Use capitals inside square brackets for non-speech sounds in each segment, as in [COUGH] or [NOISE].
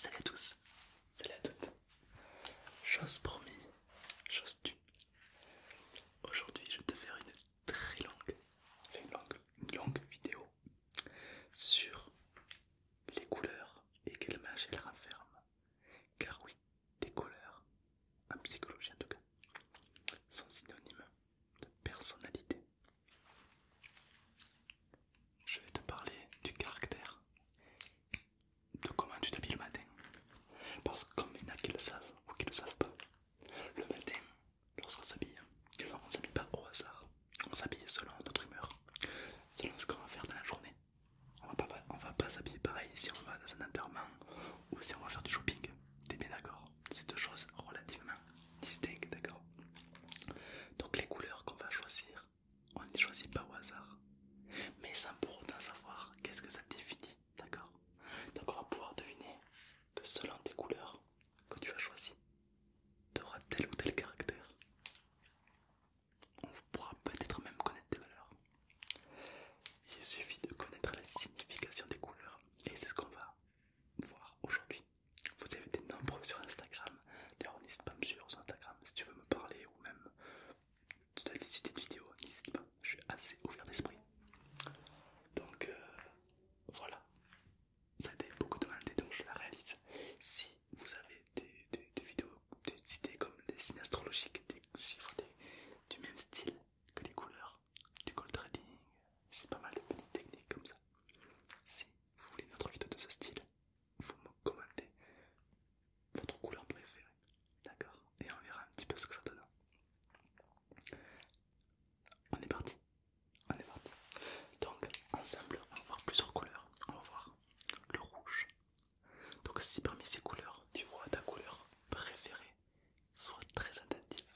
Salut à tous, salut à toutes. Chose promis chose tu Aujourd'hui, je vais te faire une très longue, longue, longue vidéo sur les couleurs et quel mage elles renferment. Car oui, des couleurs, en psychologie en tout cas, sont synonymes de personnalité. Je vais te parler du caractère, de comment tu vis le matin. Parce que comme il y en a qui le savent ou qui ne le savent pas, le matin lorsqu'on s'habille. On ne s'habille pas au hasard, on s'habille selon notre humeur, selon ce qu'on va faire dans la journée. On ne va pas s'habiller pareil si on va dans un enterrement ou si on va faire du shopping. T'es bien d'accord C'est deux choses relativement distinctes, d'accord Donc les couleurs qu'on va choisir, on ne les choisit pas au hasard, mais sans pour autant savoir qu'est-ce que ça définit, d'accord Donc on va pouvoir deviner que selon tes couleurs, quand tu as choisi, tu auras tel ou tel caractère. On pourra peut-être même connaître tes valeurs. Il suffit de connaître la signification des couleurs et c'est ce qu'on va voir aujourd'hui. Vous avez des nombreux sur Instagram. D'ailleurs, n'hésite pas à me suivre sur Instagram si tu veux me parler ou même tu dois visiter de vidéo. N'hésite pas, je suis assez ouvert d'esprit. Donc euh, voilà, ça a été beaucoup demandé donc je la réalise. Si vous avez des, vidéos, des idées comme les signes astrologiques, des chiffres du même style que les couleurs, du gold trading, j'ai pas mal de petites techniques comme ça. Si vous voulez notre vidéo de ce style, vous me commentez votre couleur préférée, d'accord Et on verra un petit peu ce que ça donne. On est parti on Donc ensemble, on va voir plusieurs couleurs. On va voir le rouge. Donc si parmi ces couleurs, tu vois ta couleur préférée, sois très attentive.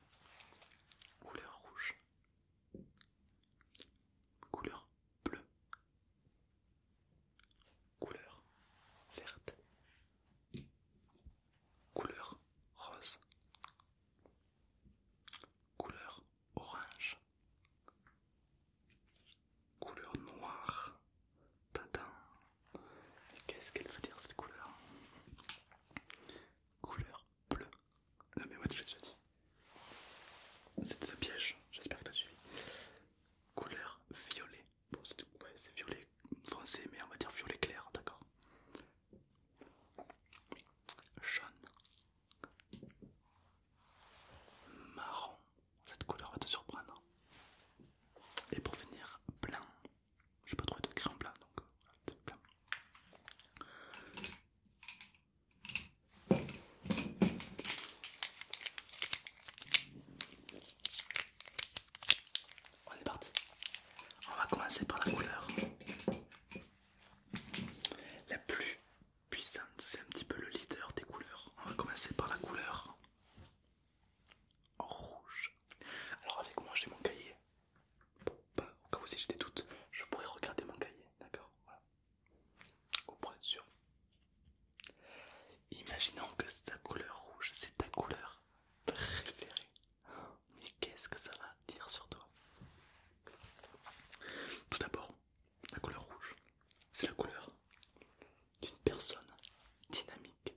Couleur rouge. Couleur bleue. Couleur verte. Couleur rose. Couleur orange. Couleur noire. Tadam. Qu'est-ce qu'elle veut dire cette couleur Couleur bleue. Non mais ouais, tu l'as déjà dit. C'était un piège, j'espère que as suivi. Couleur violet. Bon c'est violet français mais on va dire violet clair, d'accord. Jaune marron. Cette couleur va te surprendre. Et pour finir, blanc. J'ai pas trouvé de crayon blanc donc euh, blanc. On est parti. On va commencer par la couleur la plus puissante, c'est un petit peu le leader des couleurs. On va commencer par la couleur rouge. Alors avec moi j'ai mon cahier. Bon, bah, au cas où si des doutes je pourrais regarder mon cahier, d'accord Voilà. Au être sûr. Imaginons que ta couleur rouge, c'est ta couleur préférée. Mais qu'est-ce que ça va dire sur toi. Tout d'abord, la couleur rouge, c'est la couleur d'une personne dynamique,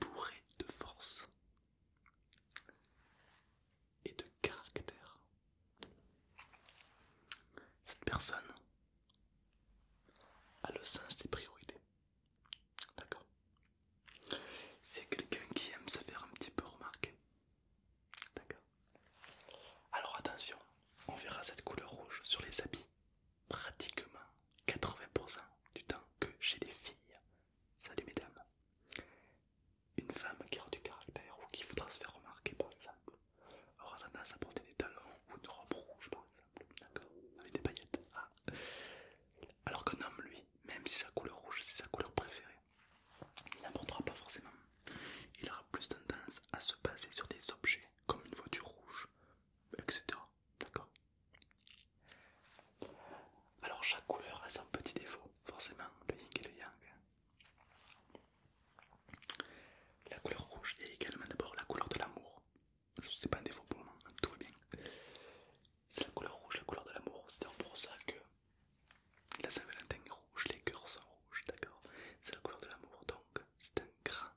bourrée de force et de caractère. Cette personne a le sens des priorités. D'accord C'est quelqu'un qui aime se faire un petit peu remarquer. D'accord. Alors attention, on verra cette couleur rouge sur les habits pratiquement 80% du temps que chez les filles. Salut mesdames. Une femme qui a du caractère ou qui voudra se faire remarquer par exemple aura tendance à porter des talons ou une robe rouge par exemple, d'accord, avec des paillettes. Ah. Alors qu'un homme lui, même si sa couleur rouge c'est sa couleur préférée, il n'apportera pas forcément. Il aura plus tendance à se baser sur des objets, comme une voiture rouge, etc. D'accord Alors chaque couleur a son petit défaut, forcément, le yin et le yang. La couleur rouge est également d'abord la couleur de l'amour. Je sais pas un défaut pour le moment, tout va bien. C'est la couleur rouge, la couleur de l'amour. C'est pour ça que la Saint-Valentin est rouge, les cœurs sont rouges, d'accord C'est la couleur de l'amour, donc c'est un grand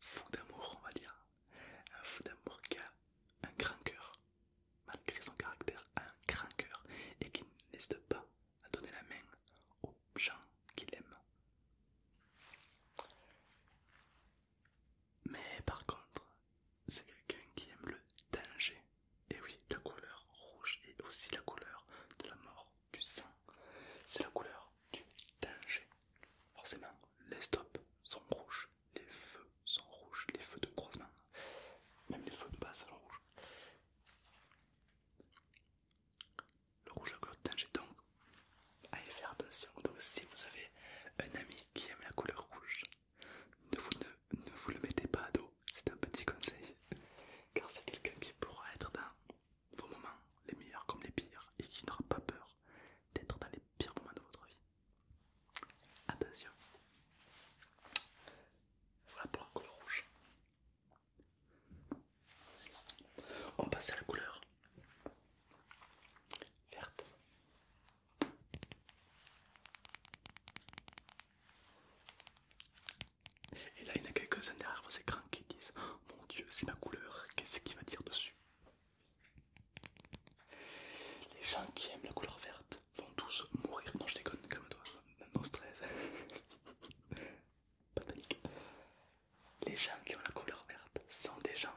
fou d'amour, on va dire. Un fou d'amour qui a un grand cœur, malgré son caractère, un grand et qui n'hésite pas à donner la main aux gens qu'il aime. Mais par contre, c'est quelqu'un qui aime le danger. Et oui, la couleur rouge est aussi la couleur de la mort du sang. C'est la couleur du danger. Forcément, les stops sont rouges, les feux sont rouges, les feux de croisement, même les feux de base sont rouges. Le rouge la couleur du danger, donc allez faire attention. Donc si vous avez un ami qui aime la couleur rouge, ne vous, ne, vous le mettez pas à dos, c'est un petit conseil. [LAUGHS] Car c'est quelqu'un qui pourra être dans vos moments, les meilleurs comme les pires, et qui n'aura pas peur d'être dans les pires moments de votre vie. Attention. Voilà pour la couleur rouge. On passe à la couleur verte. Et là, il y en a quelques-uns derrière vos écrans qui disent Mon Dieu, c'est ma couleur, qu'est-ce qu'il va dire dessus Les gens qui aiment la couleur verte vont tous mourir. Non, je déconne, calme-toi, non stress. [LAUGHS] Pas de panique. Les gens qui ont la couleur verte sont des gens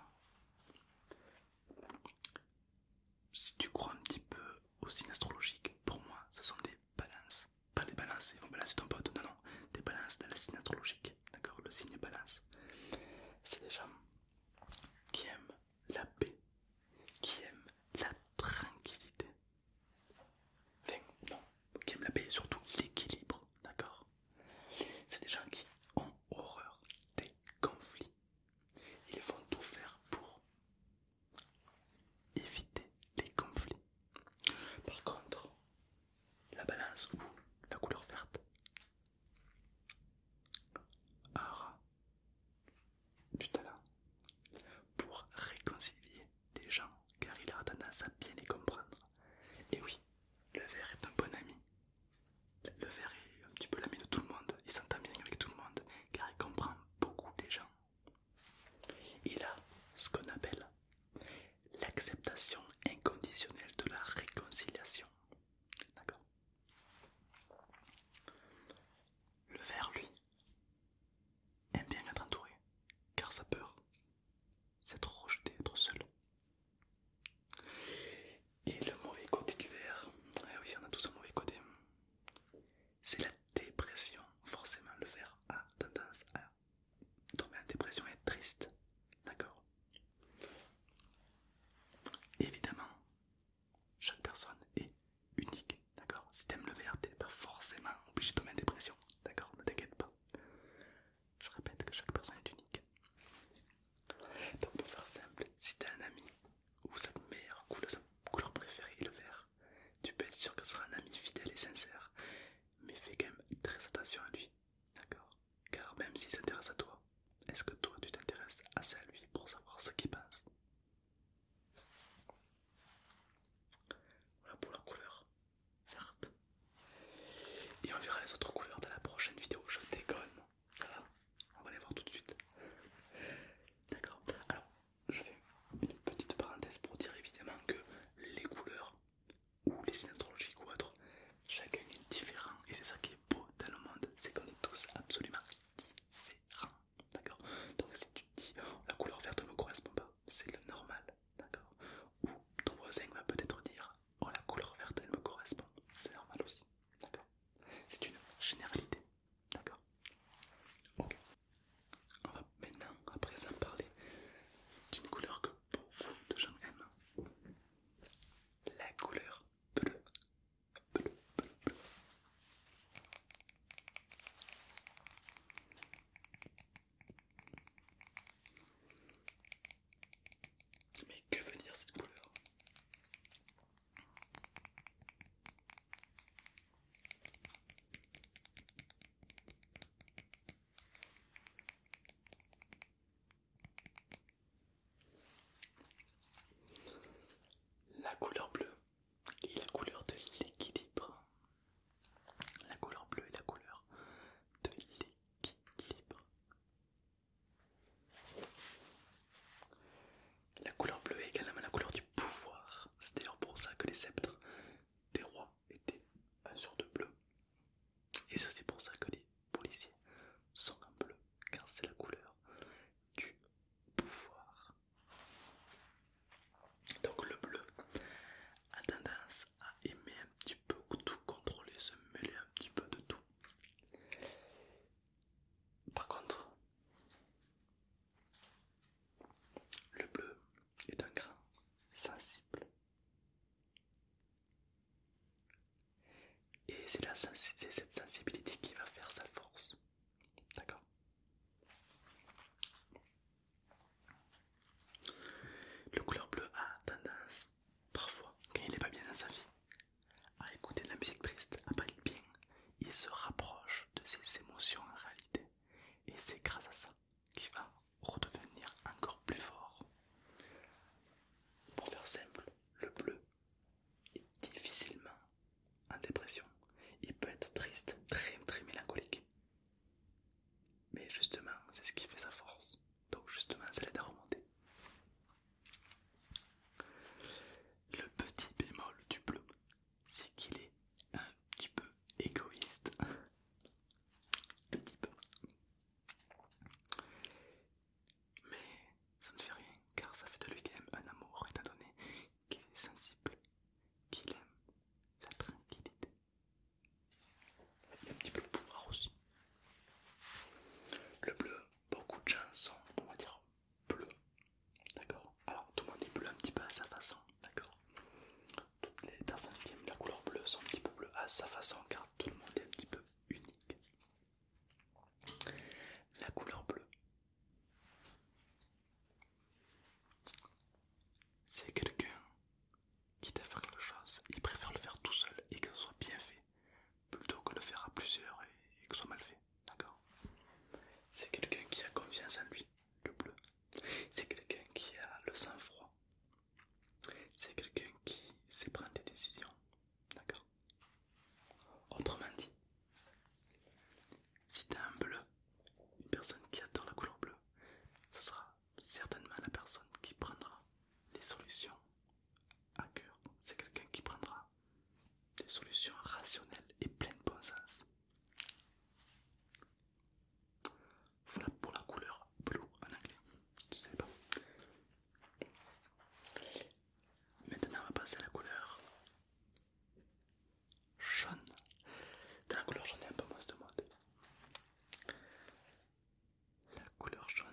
si tu crois un petit peu au signe astrologique, pour moi ce sont des balances. Pas des balances, ils vont balancer ton pote, non, non, des balances dans la signe astrologique, d'accord Le signe balance. C'est des gens qui aiment la paix, qui aiment la tranquillité. Enfin, non, qui aiment la paix et surtout l'équilibre, d'accord C'est des gens qui ont horreur des conflits. Ils vont tout faire pour éviter les conflits. Par contre, la balance ou la couleur verte aura du talent pour réconcilier les gens car il a tendance à bien les comprendre. Et oui, le vert est un bon ami. Le vert est un petit peu l'ami de tout le monde, il s'entend bien avec tout le monde car il comprend beaucoup les gens. Il a ce qu'on appelle l'acceptation inconditionnelle de la réconciliation. D'accord Le verre, lui, aime bien être entouré, car sa peur, c'est être rejeté, être seul. Et le mauvais côté du verre, eh oui, on a tous un mauvais côté, c'est la dépression. Forcément, le verre a tendance à tomber en dépression et être triste. D'accord Évidemment, chaque personne est unique. D'accord Si t'aimes le verre, t'es pas forcément obligé de tomber en dépression. D'accord Ne t'inquiète pas. Je répète que chaque personne est unique. Donc, pour faire simple, si t'as un ami ou sa meilleure couleur, sa couleur préférée est le vert. Tu peux être sûr que ce sera un ami fidèle et sincère, mais fais quand même très attention à lui, d'accord Car même s'il s'intéresse à toi, est-ce que toi tu t'intéresses assez à lui pour savoir ce qu'il pense Voilà pour la couleur verte. Et on verra les autres couleurs dans la prochaine vidéo. Je déconne, ça va On va les voir tout de suite. D'accord Alors, je fais une petite parenthèse pour dire évidemment que les couleurs ou les signes astrologiques ou autres, chacun est différent et c'est ça qui est beau dans le monde, c'est qu'on est tous absolument différents. D'accord Donc si tu te dis oh, la couleur verte ne me correspond pas, c'est le normal. D'accord Ou ton voisin va peut-être dire oh la couleur verte elle me correspond, c'est normal aussi. D'accord C'est une généralité. D'accord On va maintenant, à présent, parler d'une couleur que beaucoup de gens aiment. La couleur bleue. Bleu, bleu. Mais que veut dire cette couleur la couleur bleue est la couleur de l'équilibre. La couleur bleue est la couleur de l'équilibre. La couleur bleue est également la couleur du pouvoir. C'est d'ailleurs pour ça que les sceptres des rois étaient sur de bleu. Et ça c'est pour ça que les policiers sont en bleu, car c'est la couleur du pouvoir. Donc le bleu a tendance à aimer un petit peu tout contrôler, se mêler un petit peu de tout. Par contre, le bleu est un grain sensible. Et c'est cette sensibilité qui va faire sa force. D'accord Le couleur bleu a tendance, parfois, quand il n'est pas bien dans sa vie, à écouter de la musique triste, à pas bien. Il se rapproche de ses émotions en réalité et c'est grâce à ça qu'il va redevenir encore plus fort. Pour faire simple, le bleu est difficilement en dépression. Il peut être triste, très très mélancolique. Mais justement, c'est ce qui fait sa force. Donc justement, ça l'aide à remonter. Le petit bémol du bleu, c'est qu'il est un petit peu égoïste. un petit peu. Mais ça ne fait rien car ça fait de lui quand même un amour étant donné qu'il est sensible, qu'il aime la tranquillité. Il a un petit peu le pouvoir aussi. Le bleu, beaucoup de gens sont, on va dire, bleu. D'accord Alors tout le monde est bleu un petit peu à sa façon, d'accord Toutes les personnes qui aiment la couleur bleue sont un petit peu bleues à sa façon car tout le monde est un petit peu unique. La couleur bleue, c'est quelqu'un qui t'a faire quelque chose, il préfère le faire tout seul et que ce soit bien fait plutôt que le faire à plusieurs et, que ce soit mal fait. D'accord C'est quelqu'un qui a confiance en lui le bleu. C'est quelqu'un qui a le sang-froid. C'est quelqu'un qui sait prendre des décisions. D'accord Autrement dit, si tu as un bleu, une personne qui adore la couleur bleue, ce sera certainement la personne qui prendra les solutions à cœur. C'est quelqu'un qui prendra des solutions rationnelles et pleines de bon sens. Voilà pour la couleur blue en anglais, si tu ne pas. Maintenant, on va passer à la couleur jaune. la couleur jaune, est un peu moins de mode. La couleur jaune.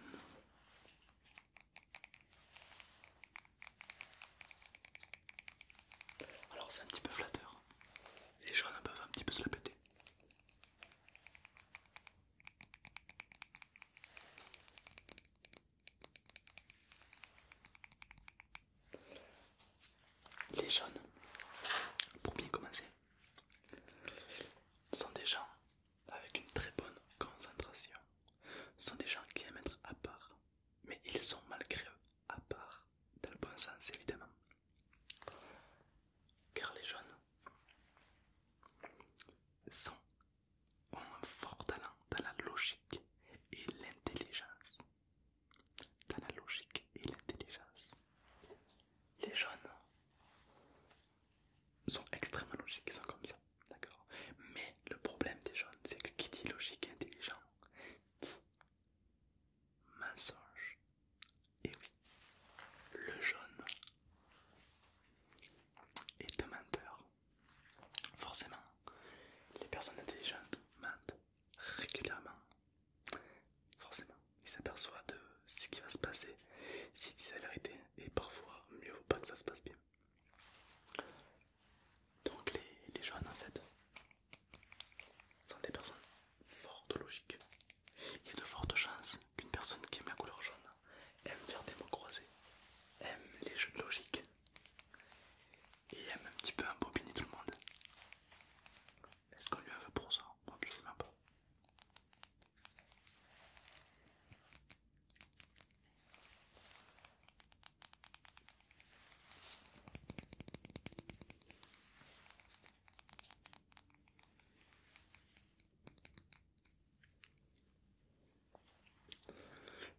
Alors c'est un petit peu flatteur. Les jaunes peuvent un petit peu se la péter. Les jaunes, pour bien commencer, sont des gens avec une très bonne concentration. Ce sont des gens qui aiment être à part, mais ils sont malgré eux à part dans le bon sens évidemment. Car les jeunes sont, ont un fort talent dans la logique et l'intelligence. Dans la logique et l'intelligence. Les jeunes sont extrêmement logiques, ils sont comme ça, d'accord Mais le problème des jeunes, c'est que qui dit logique et intelligent mensonge. Et oui, le jaune est un menteur. Forcément, les personnes intelligentes mentent régulièrement. Forcément, ils s'aperçoivent de ce qui va se passer s'ils disent la vérité et parfois mieux vaut pas que ça se passe bien. Donc les, les jaunes en fait sont des personnes fortes logiques. Il y a de fortes chances qu'une personne qui aime la couleur jaune aime faire des mots croisés, aime les jeux de logique et aime un petit peu embobiner tout le monde. Est-ce qu'on lui en veut pour ça pas.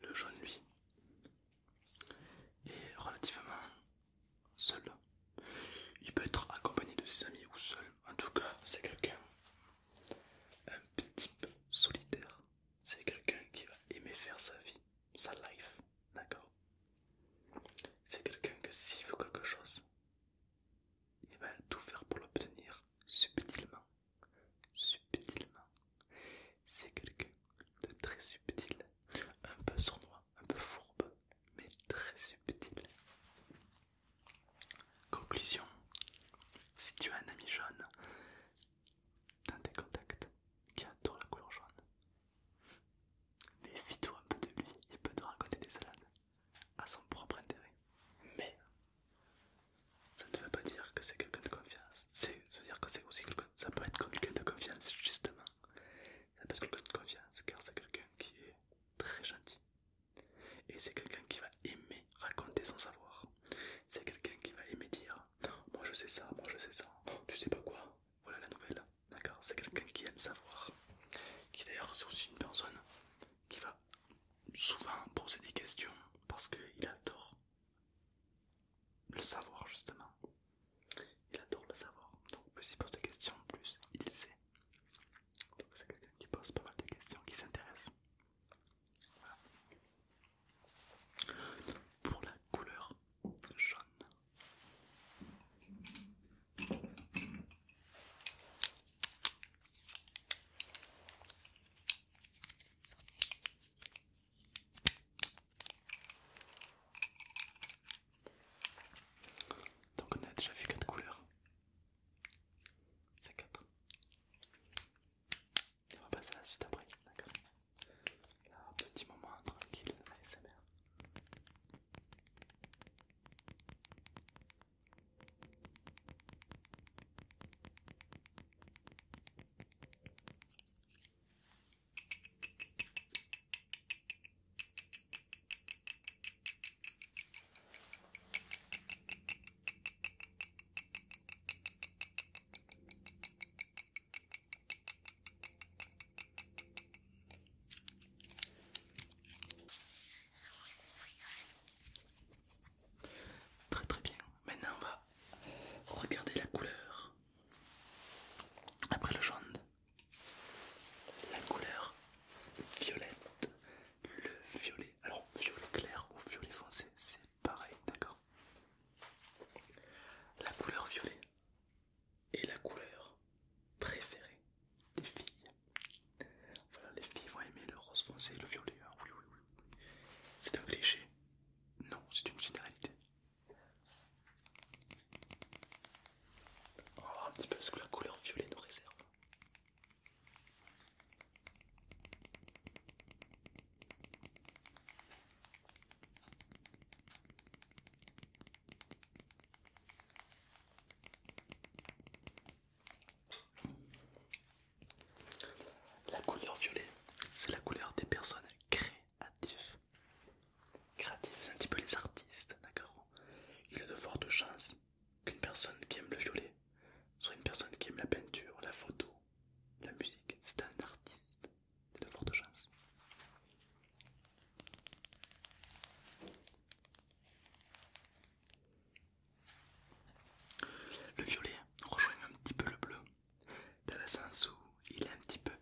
Le jaune, lui, est relativement seul. Il peut être accompagné de ses amis ou seul. En tout cas, c'est quelqu'un un petit peu solitaire. C'est quelqu'un qui va aimer faire sa vie sa life, d'accord C'est quelqu'un que s'il veut quelque chose, il va tout faire pour l'obtenir subtilement. Subtilement. C'est quelqu'un de très subtil, un peu sournois, un peu fourbe, mais très subtil. Conclusion, si tu as un ami jaune dans tes contacts qui adore la couleur jaune, mais fis-toi un peu de lui il peut te raconter des salades à son propre intérêt. Mais ça ne veut pas dire que c'est quelqu'un de confiance. C'est dire que c'est aussi Ça peut être quelqu'un de confiance justement. Ça peut être quelqu'un de confiance car c'est quelqu'un qui est très gentil. Et c'est quelqu'un qui va aimer raconter son savoir. C'est quelqu'un qui va aimer dire Moi je sais ça, moi je sais ça, tu sais pas quoi, voilà la nouvelle. D'accord C'est quelqu'un qui aime savoir. Qui d'ailleurs, c'est aussi une personne qui va souvent poser des questions parce qu'il adore le savoir, justement. Il adore le savoir. Donc, plus il pose des questions, plus il sait. Donc, c'est quelqu'un qui pose pas mal de questions, qui s'intéresse. Voilà. Pour la couleur jaune, donc on a déjà vu quatre couleurs. C'est quatre. on va passer à la suite après, d'accord un petit moment tranquille, ASMR. Très très bien. Maintenant on va regarder la couleur. Après le jaune, la couleur violette. Le violet. Alors violet clair ou violet foncé, c'est pareil, d'accord La couleur violet, et la couleur préférée des filles. Voilà, les filles vont aimer le rose foncé le violet. Hein. Oui, oui, oui. C'est un cliché Non, c'est une généralité. On oh, va voir un petit peu ce que la couleur violet nous réserve. La couleur violet, c'est la couleur des personnes créatives. Créatives, c'est un petit peu les artistes, d'accord Il a de fortes chances qu'une personne qui aime le violet soit une personne qui aime la peinture, la photo, la musique. C'est un artiste de fortes chances. Le violet rejoint un petit peu le bleu, dans le sens où il est un petit peu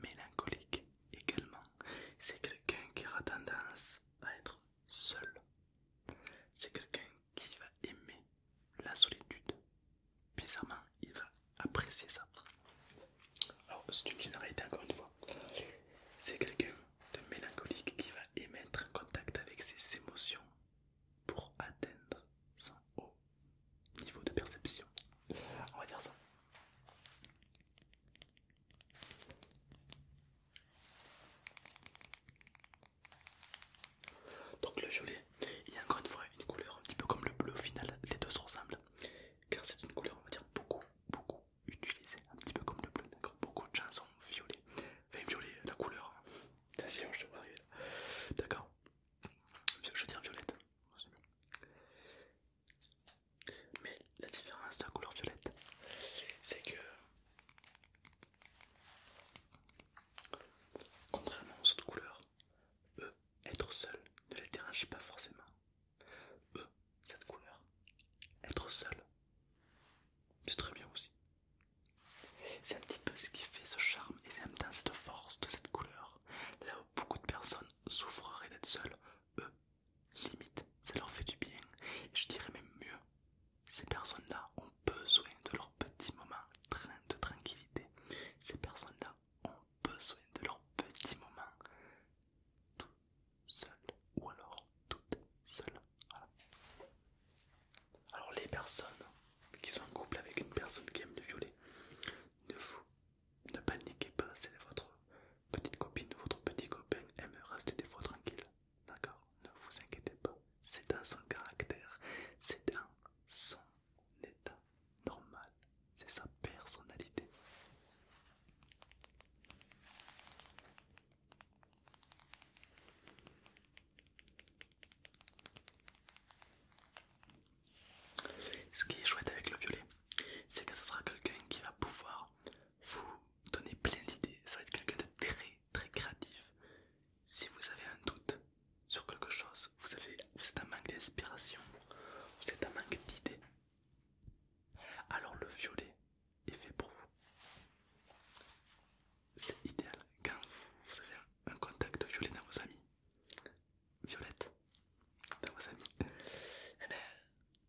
mélancolique également. C'est quelqu'un qui a tendance à être seul. C'est quelqu'un qui va aimer la solitude. Bizarrement, il va apprécier ça. Alors, c'est une généralité encore une fois. C'est quelqu'un de mélancolique qui va émettre un contact avec ses émotions pour atteindre son haut niveau de perception. On va dire ça. Donc le violet, il y a encore une fois une couleur un petit peu comme le bleu au final, les deux se ressemblent. Car c'est une couleur on va dire beaucoup beaucoup utilisé, un petit peu comme le bleu d'accord Beaucoup de gens sont violets, enfin la couleur. Hein. Attention, je te arriver D'accord, je dire violette. Mais la différence de la couleur violette, c'est que contrairement aux autres couleurs, eux, être seul ne les dérange pas forcément eux, cette couleur, être seul, c'est très bien aussi. C'est un petit peu ce qui fait ce charme et c'est en même temps cette force de cette couleur. Là où beaucoup de personnes souffreraient d'être seules, eux, limite, ça leur fait du bien. je dirais même mieux, ces personnes-là ont besoin de leur petit moment de tranquillité. Ces personnes-là ont besoin de leur petit moment tout seul ou alors toute seule. Alors les personnes qui sont en couple avec une personne qui aime le violer ne vous ne paniquez pas, c'est votre petite copine ou votre petit copain aime rester des fois tranquille. D'accord Ne vous inquiétez pas, c'est dans son caractère, c'est dans son état normal, c'est sa personnalité. Ce qui est chouette avec le violet, c'est que ce sera quelqu'un qui va pouvoir vous donner plein d'idées. Ça va être quelqu'un de très très créatif. Si vous avez un doute sur quelque chose, vous, avez, vous êtes un manque d'inspiration, vous êtes un manque d'idées, alors le violet est fait pour vous. C'est idéal quand vous avez un, contact violet dans vos amis. Violette dans vos amis. Et eh bien,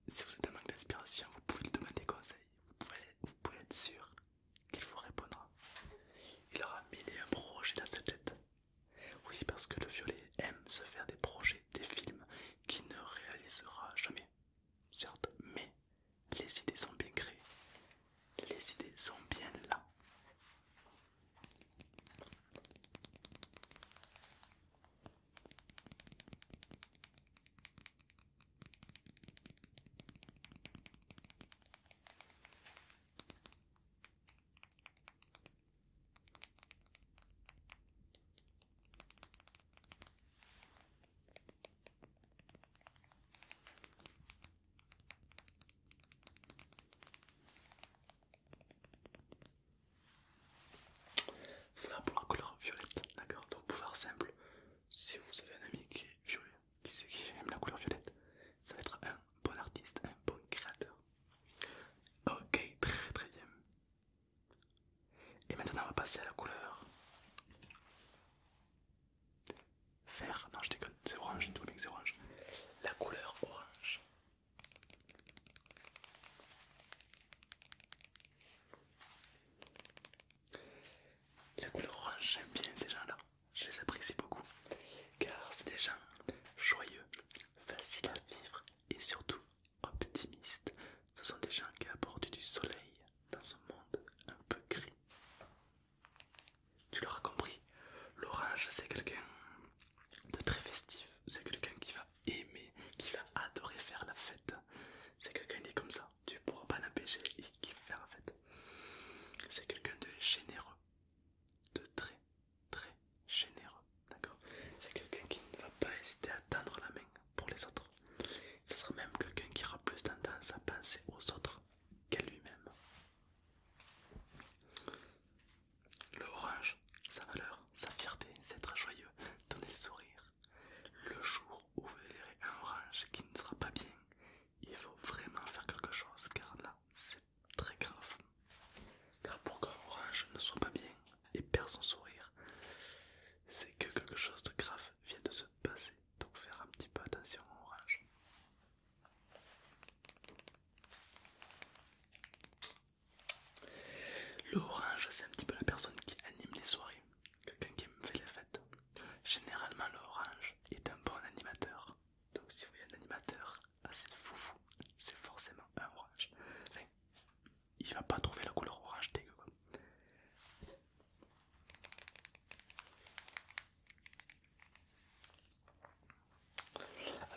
si vous êtes en manque d'inspiration, vous pouvez lui demander des Vous pouvez, vous pouvez être sûr qu'il vous répondra. Il aura mille un projet dans sa tête. Oui, parce que le violet aime se faire des projets, des films, qui ne réalisera jamais, certes, mais les idées sont bien créées, les idées sont bien là. Voilà pour la couleur violette, d'accord Donc pouvoir simple, si vous avez un ami qui est violet, qui aime la couleur violette, ça va être un bon artiste, un bon créateur. Ok, très très bien. Et maintenant on va passer à la couleur vert. Non je déconne, c'est orange, tout que c'est orange. La couleur orange. La couleur orange, j'aime bien ces gens-là, je les apprécie beaucoup, car c'est des gens joyeux, faciles à vivre et surtout optimistes, ce sont des gens qui apportent du soleil dans son monde un peu gris. Tu l'auras compris, l'orage c'est quelqu'un de très festif, c'est quelqu'un qui va aimer, qui va adorer faire la fête. C'est quelqu'un qui est comme ça, tu pourras pas l'empêcher, il qui faire la fête. C'est quelqu'un de généreux, de très très généreux, d'accord C'est quelqu'un qui ne va pas hésiter à tendre la main pour les autres. Ce sera même quelqu'un qui aura plus tendance à penser aux autres qu'à lui-même. Le orange, sa valeur, sa fierté, c'est être joyeux, donner le sourire. Le jour où vous verrez un orange qui ne sera pas bien, il faut vraiment faire quelque chose car là c'est très grave. Car pour qu'un orange ne soit pas bien et perd son sourire, c'est que quelque chose de grave vient de se passer. Donc faire un petit peu attention à orange. Le orange, c'est un petit peu la personne qui anime les soirées, quelqu'un qui aime faire les fêtes. Généralement, le orange est un bon animateur. Donc si vous voyez un animateur assez foufou, c'est forcément un orange il va pas trouver la couleur orange des quoi.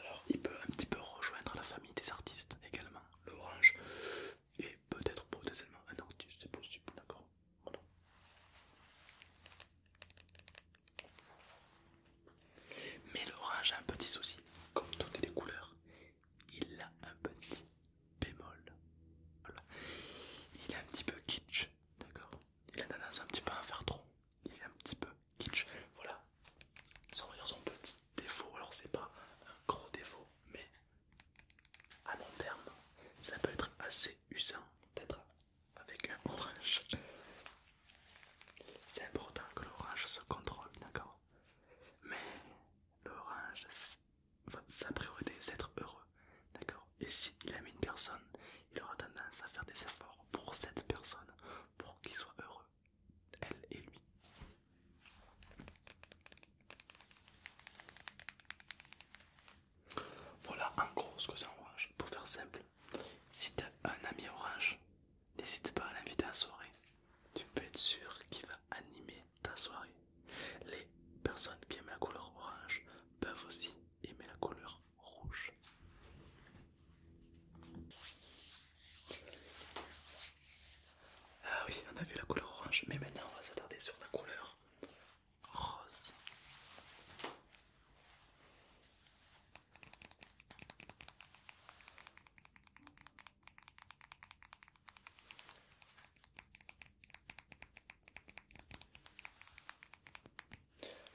Alors il peut un petit peu rejoindre la famille des artistes également, l'orange et peut-être potentiellement un artiste, c'est possible, d'accord Mais l'orange a un petit souci, comme toutes les couleurs, il a un petit bémol. Voilà. Il est un petit peu kitsch, d'accord Il a tendance un petit peu à en faire trop. Il est un petit peu kitsch. Voilà. Sans dire son petit défaut. Alors c'est pas un gros défaut, mais à long terme, ça peut être assez usant d'être avec un orange. C'est important que l'orange se contrôle, d'accord Mais l'orange, sa priorité c'est être heureux, d'accord Et s'il aime une personne, il aura tendance à faire des efforts pour cette personne, pour qu'il soit heureux, elle et lui. Voilà en gros ce que c'est orange. Pour faire simple, si t'as un ami orange, N'hésite pas à l'inviter à soirée. Tu peux être sûr qu'il va animer ta soirée. Les personnes qui aiment la couleur orange peuvent aussi aimer la couleur rouge. Ah oui, on a vu la couleur orange, mais maintenant on va s'attarder sur la couleur rose.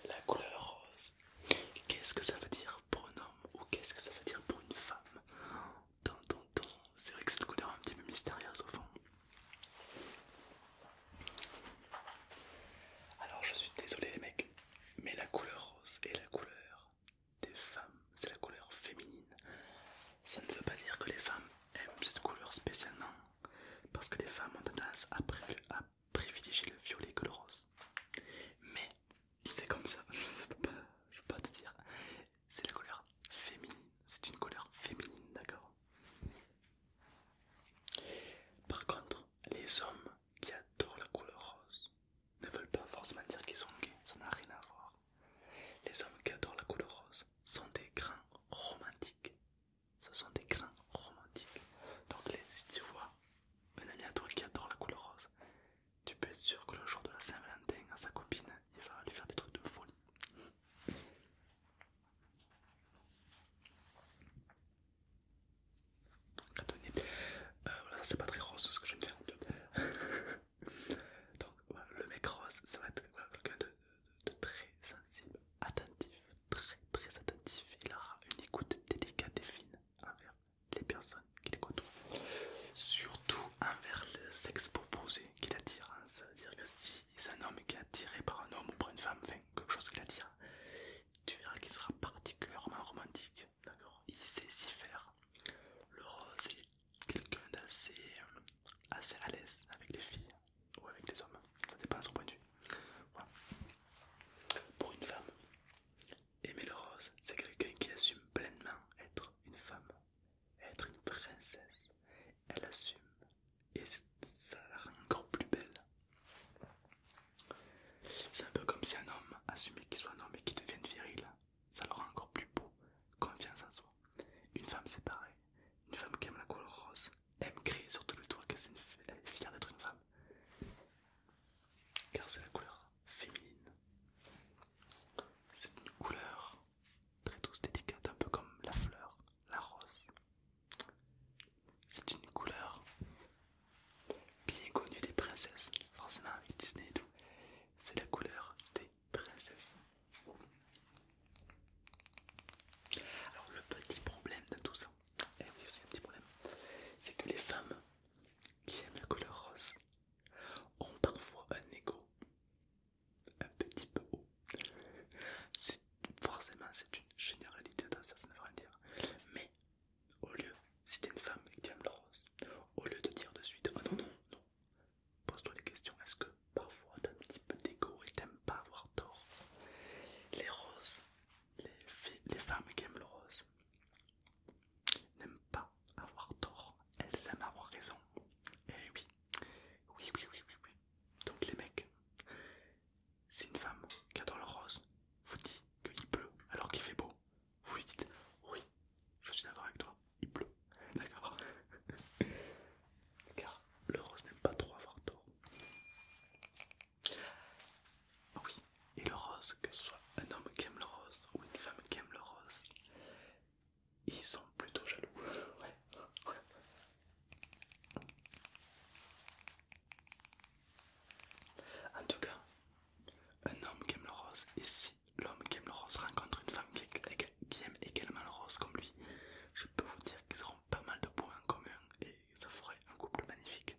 La couleur rose. Qu'est-ce que ça veut dire pour un homme ou qu'est-ce que ça veut dire pour une femme C'est vrai que cette couleur est un petit peu mystérieuse au fond. Alors je suis désolé les mecs, mais la couleur rose est la couleur des femmes, c'est la couleur féminine. Ça ne veut pas dire que les femmes aiment cette couleur spécialement, parce que les femmes ont tendance à, privilégier le violet que le rose. Mais c'est comme ça, [LAUGHS] je ne peux, peux pas te dire. C'est la couleur féminine, c'est une couleur féminine, d'accord Par contre, les hommes qui adorent la couleur rose, ne veulent pas forcément dire qu'ils sont gays, ça n'a rien à voir. Les hommes qui adorent la couleur rose sont des grands romantiques. Ce sont des grands romantiques. Donc si tu vois un ami à toi qui adore la couleur rose, tu peux être sûr que le jour de la Saint-Valentin à sa copine, il va lui faire des trucs de folie. [LAUGHS] donne. Euh, voilà, ça c'est pas très rose ce que je viens [LAUGHS] de faire. Donc voilà, le mec rose, ça va être quelqu'un de, très sensible, attentif, très très attentif. Il aura une écoute délicate et fine envers les personnes qu'il côtoie, surtout envers le sexe proposé qu'il attire. cest hein. à dire que si c'est un homme qui est attiré par un homme ou par une femme, enfin quelque chose qui l'attire, tu verras qu'il sera particulièrement romantique. D'accord, il sait s'y faire. Le rose est quelqu'un d'assez assez à l'aise avec les filles ou avec les hommes, ça dépend de son point de vue. Pour une femme, aimer le rose, c'est quelqu'un qui assume pleinement être une femme, être une princesse. Elle assume et ça la rend encore plus belle. C'est un peu comme si un homme assumait qu'il soit un homme et qu'il devienne viril ça le rend encore plus beau. Confiance en soi. Une femme, c'est pareil. Une femme qui aime la couleur rose aime crier sur tout le toit qu'elle est fière d'être une femme. Car c'est la couleur féminine. C'est une couleur très douce, délicate, un peu comme la fleur, la rose. C'est une couleur bien connue des princesses, forcément avec Disney et tout. C'est la couleur des princesse. Alors le petit problème de tout ça, eh c'est que les femmes qui aiment la couleur rose ont parfois un ego un petit peu haut. Forcément c'est une généralité, attention ça ne rien dire. Mais au lieu, si une femme qui aime le rose, au lieu de dire de suite, oh non non non, Pose-toi les questions, est-ce que parfois t'as un petit peu d'ego et t'aimes pas avoir tort Les roses, les, femmes qui aiment le rose n'aiment pas avoir tort, elles aiment avoir raison. Eh oui, oui, oui, oui, oui, oui. Donc les mecs, si une femme qui adore le rose vous dit qu'il pleut alors qu'il fait beau, vous lui dites oui, je suis d'accord avec toi, il pleut, d'accord Car le rose n'aime pas trop avoir tort. Ah oui, et le rose, que ce soit un homme qui aime le rose ou une femme qui aime le rose, ils sont plutôt jaloux. [LAUGHS] Ouais. En tout cas, un homme qui aime le rose est si l'homme qui aime le rose rencontre une femme qui, aime également le rose comme lui, je peux vous dire qu'ils auront pas mal de points en commun et ça ferait un couple magnifique.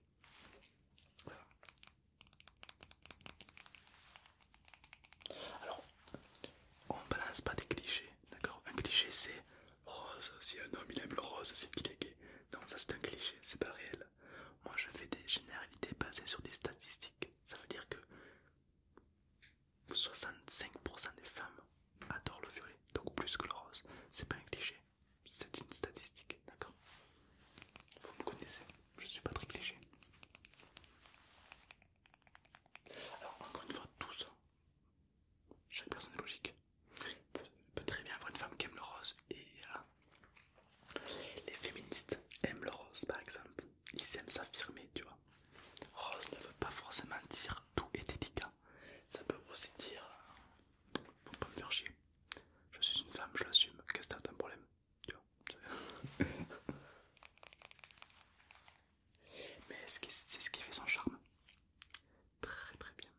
Alors, on balance pas des clichés, d'accord Un cliché c'est rose, si un homme il aime le rose, c'est qu'il est gay. Non, ça c'est un cliché, c'est pas réel. Moi je fais des généralités basées sur des statistiques. Ça veut dire que 65% des femmes adorent le violet, donc plus que le rose. C'est pas un cliché, c'est une statistique, d'accord Vous me connaissez, je suis pas très cliché. Alors, encore une fois, tout ça, chaque personne est logique. Peut, très bien avoir une femme qui aime le rose et euh, les féministes aiment le rose par exemple ils aiment s'affirmer, tu vois. Rose ne veut pas forcément dire tout est délicat. Ça peut aussi dire faut pas me faire chier. Je suis une femme, je l'assume. Qu'est-ce que t'as un problème Tu vois [LAUGHS] Mais c'est ce qui fait son charme. Très très bien.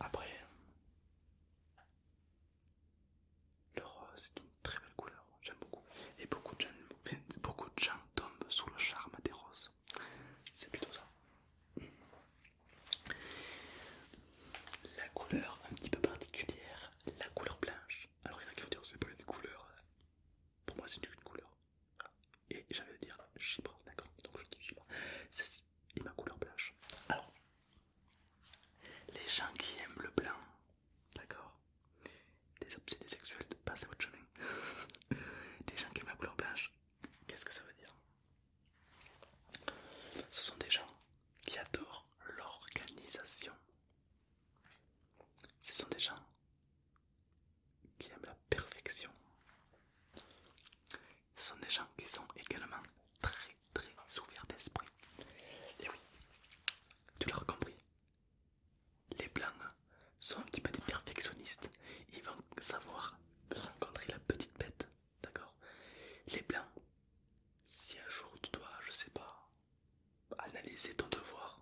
Après, le rose est une très belle couleur, j'aime beaucoup. Et beaucoup de, gens, beaucoup de gens tombent sous le charme des roses. C'est plutôt ça. La couleur un petit peu particulière, la couleur blanche. Alors il y en a qui vont dire c'est pas une couleur. Euh, pour moi c'est une couleur. Et j'avais de dire chibre, d'accord Donc je dis chibre et ma couleur blanche. Alors, les gens qui aiment le blanc, d'accord Des obsédés sexuels, passer votre chemin. des [LAUGHS] gens qui aiment la couleur blanche, qu'est-ce que ça veut dire Ce sont des gens qui adorent l'organisation. Ce sont des gens qui aiment la perfection, ce sont des gens qui sont également très très ouverts d'esprit. Et oui, tu l'as compris. Les blancs sont un petit peu des perfectionnistes. Ils vont savoir rencontrer la petite bête, d'accord Les blancs, si un jour tu dois, je sais pas, analyser ton devoir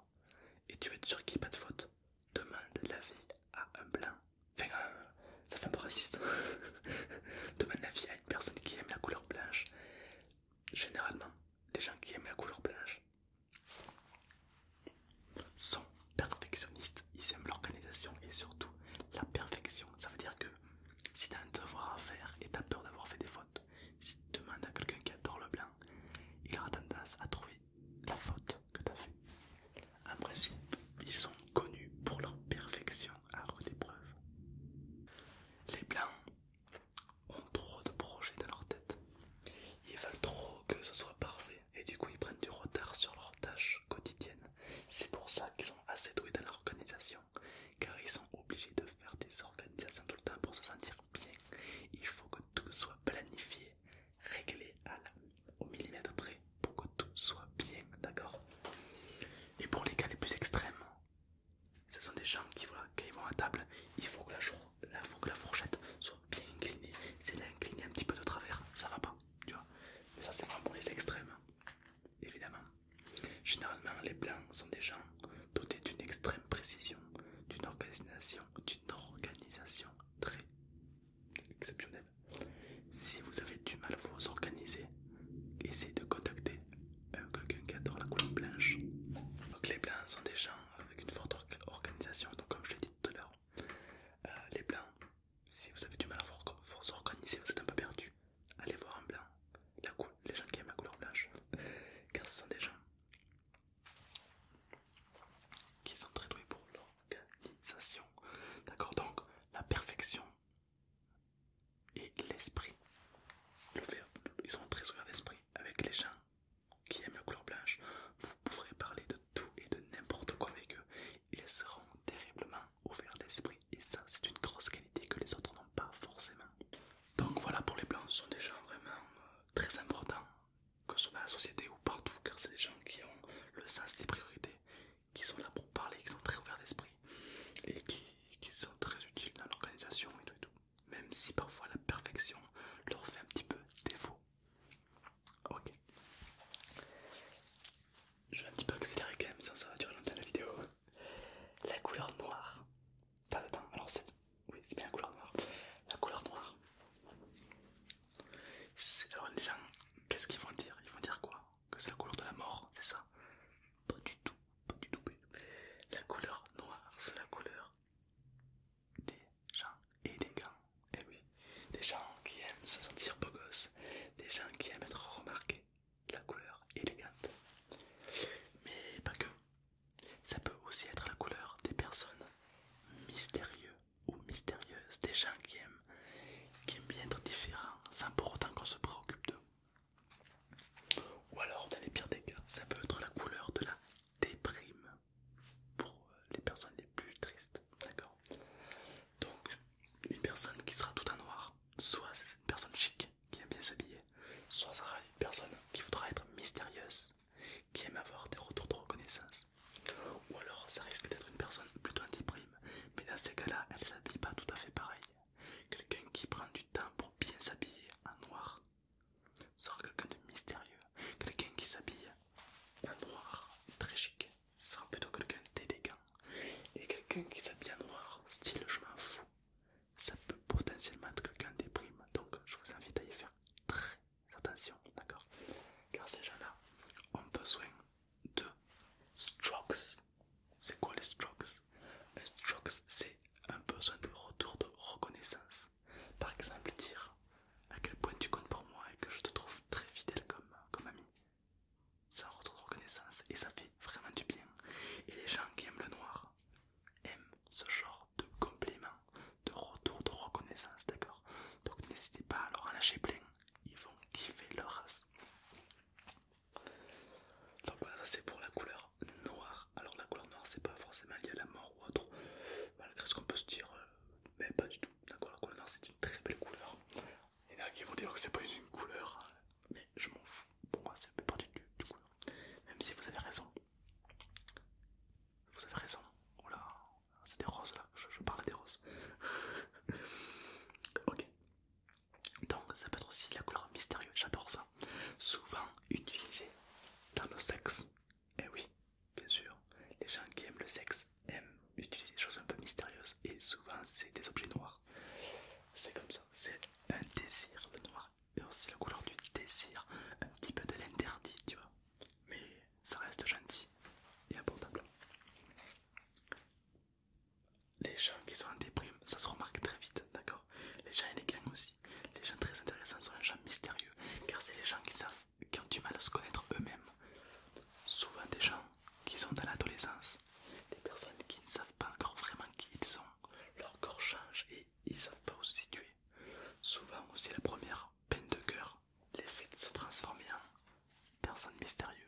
et tu veux être sûr qu'il n'y a pas de faute, demande l'avis à un blanc Enfin, euh, ça fait un peu raciste. [LAUGHS] Demande la à une personne qui aime la couleur blanche. Généralement, les gens qui aiment la couleur blanche sont perfectionnistes. Ils aiment l'organisation et surtout la perfection. Ça veut dire que si tu as un devoir à faire et tu as peur d'avoir fait des fautes, si tu demandes à quelqu'un qui adore le blanc, il aura tendance à trouver la faute que tu as fait. En principe, ils sont connus pour leur perfection à rude épreuve. Les blancs ont trop de projets dans leur tête. Ils veulent trop que ce soit parfait et du coup ils prennent du retard sur leurs tâches quotidiennes. C'est pour ça qu'ils sont assez doués dans l'organisation, car ils sont obligés de faire des organisations tout le temps pour se sentir bien. Il faut que tout soit planifié, réglé au millimètre près pour que tout soit bien, d'accord Et pour les cas les plus extrêmes, ce sont des gens qui, voilà, quand vont à table, il faut que la, faut que la fourchette soit bien inclinée. C'est est inclinée un petit peu de travers, ça va pas, tu vois. Mais ça, c'est vraiment pour les extrêmes, évidemment. Généralement, les blancs sont des gens dotés d'une extrême précision, d'une organisation, d'une organisation très exceptionnelle. Si vous avez du mal à vous organiser, essayez de contacter euh, quelqu'un qui adore la couleur blanche. les blancs sont des gens avec une forte organisation, donc comme je l'ai dit tout à l'heure, euh, les blancs, si vous avez du mal à vous, organiser, vous êtes un peu perdu, allez voir un blanc, la les gens qui aiment la couleur blanche, car ce sont des gens qui sont très doués pour l'organisation. D'accord, donc la perfection et l'esprit. ils sont très ouverts d'esprit avec les gens qui aiment la couleur blanche. Vous pourrez parler de tout et de n'importe quoi avec eux. Ils seront terriblement ouverts d'esprit et ça c'est une grosse qualité que les autres n'ont pas forcément. Donc voilà pour les blancs, ce sont des gens vraiment euh, très importants, que ce soit dans la société ou partout, car c'est des gens qui ont le sens des priorités, qui sont là pour parler, qui sont très ouverts d'esprit et qui, sont très utiles dans l'organisation et tout et tout. Même si parfois la perfection leur fait un petit peu défaut. Ok. Je vais un petit peu accélérer quand même, ça va durer longtemps la vidéo. La couleur noire. Attends, attends, alors c'est. Oui, c'est bien la couleur noire. La couleur noire. Alors les gens, qu'est-ce qu'ils vont dire Ils vont dire quoi que c'est la couleur de la mort, c'est ça Pas du tout, pas du tout. La couleur noire, c'est la couleur des gens élégants. Et eh oui, des gens qui aiment se sentir beau gosse, des gens qui aiment être remarqués. La couleur élégante. Mais pas que. Ça peut aussi être la couleur des personnes mystérieux ou mystérieuses, des gens qui aiment qui aiment bien être différent sans pour autant qu'on se préoccupe d'eux. Ou alors, dans les pires des cas, ça peut être la couleur de la déprime pour euh, les personnes les plus tristes. D'accord Donc, une personne qui sera tout en noir, soit c'est une personne chic qui aime bien s'habiller, soit c'est sera une personne qui voudra être mystérieuse, qui aime avoir des retours de reconnaissance. Ou alors ça risque d'être une personne plutôt en déprime, mais dans ces cas-là, elle s'habille pas tout à fait pareil. Quelqu'un qui prend du temps pour bien s'habiller en noir sera quelqu'un de mystérieux. Quelqu'un qui s'habille en noir, très chic, sera plutôt quelqu'un d'élégant. Et quelqu'un qui s'habille en noir, style je m'en fous, ça peut potentiellement être quelqu'un déprime. Donc je vous invite à y faire très attention, d'accord Car ces gens-là ont besoin de strokes c'est quoi les strokes Un strokes, c'est un besoin de retour de reconnaissance. Par exemple, dire à quel point tu comptes pour moi et que je te trouve très fidèle comme, comme ami. Ça retour de reconnaissance et ça fait vraiment du bien. Et les gens qui aiment le noir aiment ce genre de complément de retour de reconnaissance, d'accord Donc n'hésitez pas à leur en lâcher plein, ils vont kiffer leur race. Donc voilà, ça c'est pour la couleur noire. Alors la couleur noire, c'est pas forcément lié à la mort ou autre, malgré ce qu'on peut se dire, euh, mais pas du tout. la couleur noire c'est une très belle couleur. Il y en a qui vont dire que c'est pas une couleur, mais je m'en fous. Pour moi, c'est un partie du, du couleur. Même si vous avez raison. Vous avez raison. là, c'est des roses là, je, je parle des roses. [LAUGHS] ok, donc ça peut être aussi la couleur mystérieuse, j'adore ça. Souvent utilisée dans nos sexes. Et eh oui, bien sûr, les gens qui aiment le sexe aiment utiliser des choses un peu mystérieuses et souvent c'est des objets noirs. C'est comme ça, c'est un désir le noir et aussi la couleur du désir, un petit peu de l'interdit, tu vois. Mais ça reste gentil et abordable les gens qui sont en déprime, ça se remarque très vite, d'accord Les gens élégants aussi, les gens très intéressants sont les gens mystérieux, car c'est les gens qui savent, qui ont du mal à se connaître eux-mêmes. Souvent des gens qui sont dans l'adolescence, des personnes qui ne savent pas encore vraiment qui ils sont, leur corps change et ils savent pas où se situer. Souvent aussi la première peine de cœur, les faits de se transformer en personne mystérieuse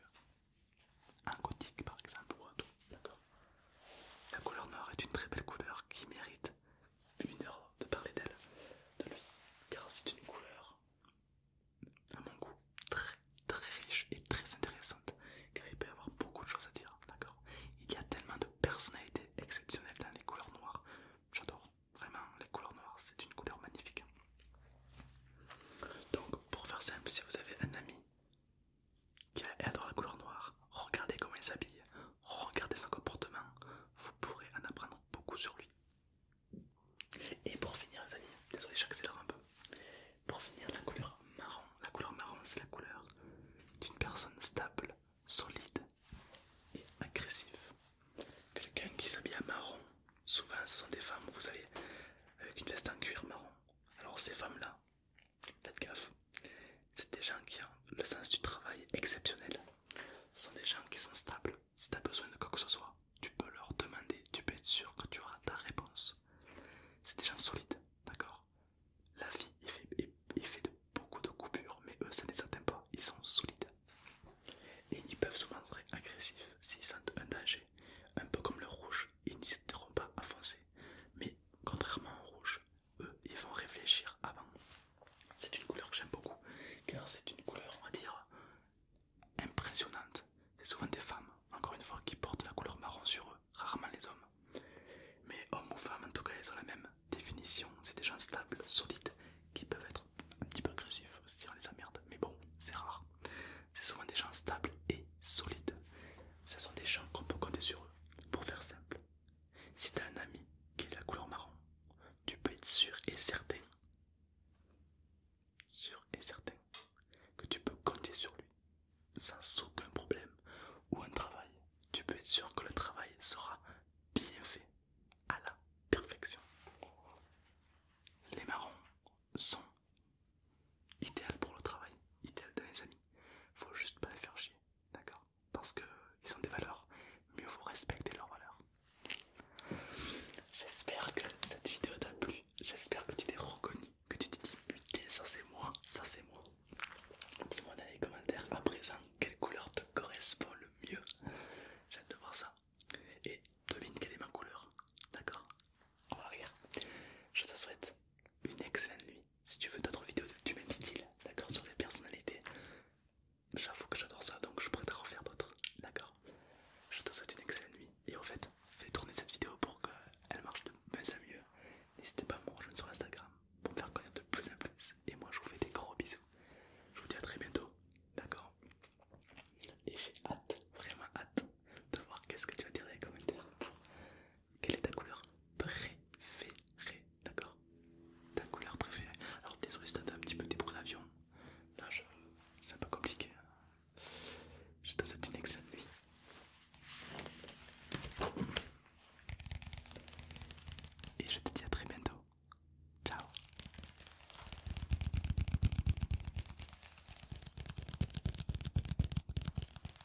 un gothique par exemple ou tout, d'accord La couleur noire est une très belle couleur qui mérite une heure de parler d'elle, de lui, car c'est une couleur à mon goût très très riche et très intéressante, car il peut y avoir beaucoup de choses à dire, d'accord Il y a tellement de personnalités exceptionnelles dans les couleurs noires, j'adore vraiment les couleurs noires, c'est une couleur magnifique. Donc pour faire simple, si vous avez un ami qui adore la couleur noire, regardez comment il s'habille, regardez son comportement, vous pourrez en apprendre beaucoup sur lui. Et pour finir les amis, désolé j'accélère un peu, pour finir la couleur marron, la couleur marron c'est la couleur d'une personne stable, solide et agressive. Quelqu'un qui s'habille à marron, souvent ce sont des femmes, vous savez, avec une veste en cuir marron, alors ces femmes-là, faites gaffe, c'est des gens qui ont le sens du travail exceptionnel. Ce sont des gens qui sont stables. Si tu as besoin de quoi que ce soit, tu peux leur demander, tu peux être sûr que tu auras ta réponse. C'est des gens solides, d'accord La vie est fait de beaucoup de coupures, mais eux ça ne les pas, ils sont solides. Et ils peuvent se montrer agressifs s'ils sentent un danger un peu comme le rouge, ils n'hésiteront pas à foncer. Mais contrairement au rouge, eux, ils vont réfléchir avant. C'est une couleur que j'aime beaucoup, car c'est une couleur, on va dire, impressionnante. C'est souvent des femmes, encore une fois, qui portent la couleur marron sur eux, rarement les hommes. Mais hommes ou femmes, en tout cas, ils ont la même définition. C'est des gens stables, solides, qui peuvent être un petit peu agressifs si on les emmerde. Mais bon, c'est rare c'est souvent des gens stables et solides. Ce sont des gens qu'on peut compter sur eux. Pour faire simple, si tu as un ami qui est la couleur marron, tu peux être sûr et certain, sûr et certain, que tu peux compter sur lui sans aucun problème. Ou un travail, tu peux être sûr que le travail sera bien fait à la perfection. Les marrons sont idéal pour le travail, idéal dans les amis. Faut juste pas les faire chier, d'accord Parce que ils ont des valeurs, mieux faut respecter leurs valeurs. J'espère que cette vidéo t'a plu, j'espère que tu t'es reconnu, que tu t'es dit putain ça c'est moi, ça c'est moi. Dis-moi dans les commentaires à présent quelle couleur te correspond le mieux. J'ai hâte de voir ça. Et devine quelle est ma couleur, d'accord on va rire. Je te souhaite une excellente nuit. Si tu veux d'autres vidéos du même style, d'accord, sur les personnalités, j'avoue que j'adore ça, donc je pourrais te refaire d'autres, d'accord. Je te souhaite une excellente nuit et en fait, fais tourner cette vidéo pour qu'elle marche de mieux en mieux. N'hésitez pas à me rejoindre sur Instagram pour me faire connaître de plus en plus. Et moi, je vous fais des gros bisous. Je vous dis à très bientôt, d'accord. Et j'ai hâte, vraiment hâte de voir qu'est-ce que tu vas dire dans les commentaires quelle est ta couleur préférée, d'accord Ta couleur préférée. Alors désolé si t'as un petit peu débrouillé bruits là c'est un peu compliqué. Hein. Je te souhaite une excellente nuit. Et je te dis à très bientôt. Ciao.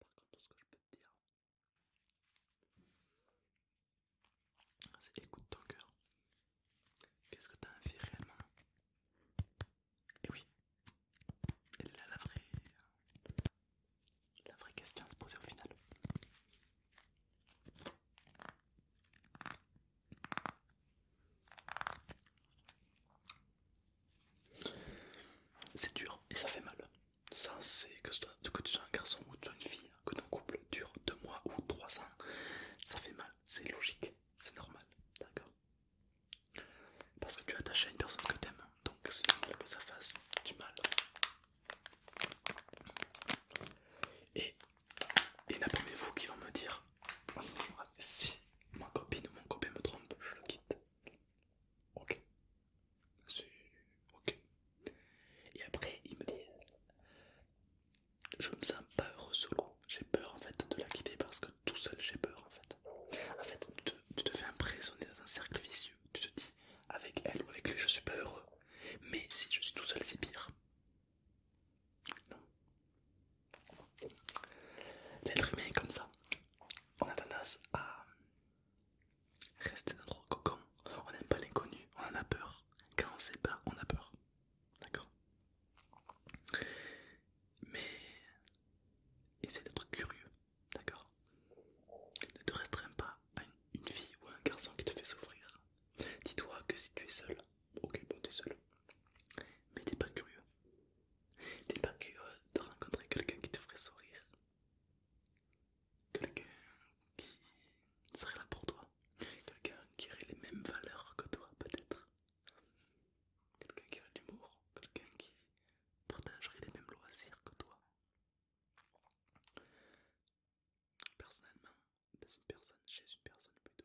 Par contre, tout ce que je peux te dire, c'est écoute ton cœur. Qu'est-ce que tu as envie réellement eh Et oui, la vraie question à se poser au final. C'est dur et ça fait mal. Ça, c'est que, que tu sois un garçon ou tu une fille, que ton couple dure deux mois ou trois ans, ça fait mal. C'est logique, c'est normal, d'accord Parce que tu es attaché à une personne que tu aimes donc c'est normal que ça fasse du mal. Et, et n'apprenez-vous qui vont me dire si ma copine ou mon copain me trompe, je le quitte. Ok. C'est ok. Et après, il me dit Je me sens pas heureux solo. J'ai peur en fait de la quitter parce que tout seul j'ai peur en fait. En fait, tu te, fais emprisonner dans un cercle vicieux. Tu te dis Avec elle ou avec lui, je suis pas heureux. Mais si je suis tout seul, c'est pire. Non. L'être humain est comme ça. On a tendance à rester dans notre cocon. On n'aime pas l'inconnu, on en a peur. Quand on ne sait pas, on a peur. D'accord Mais essaie d'être curieux, d'accord Ne te restreins pas à une, fille ou un garçon qui te fait souffrir. Dis-toi que si tu es seul, ok, bon, t'es seul, mais t'es pas curieux, T'es pas curieux de rencontrer quelqu'un qui te ferait sourire Quelqu'un qui serait là pour toi Quelqu'un qui aurait les mêmes valeurs que toi peut-être Quelqu'un qui aurait l'humour Quelqu'un qui partagerait les mêmes loisirs que toi Personnellement, dans une personne, chez une personne plutôt,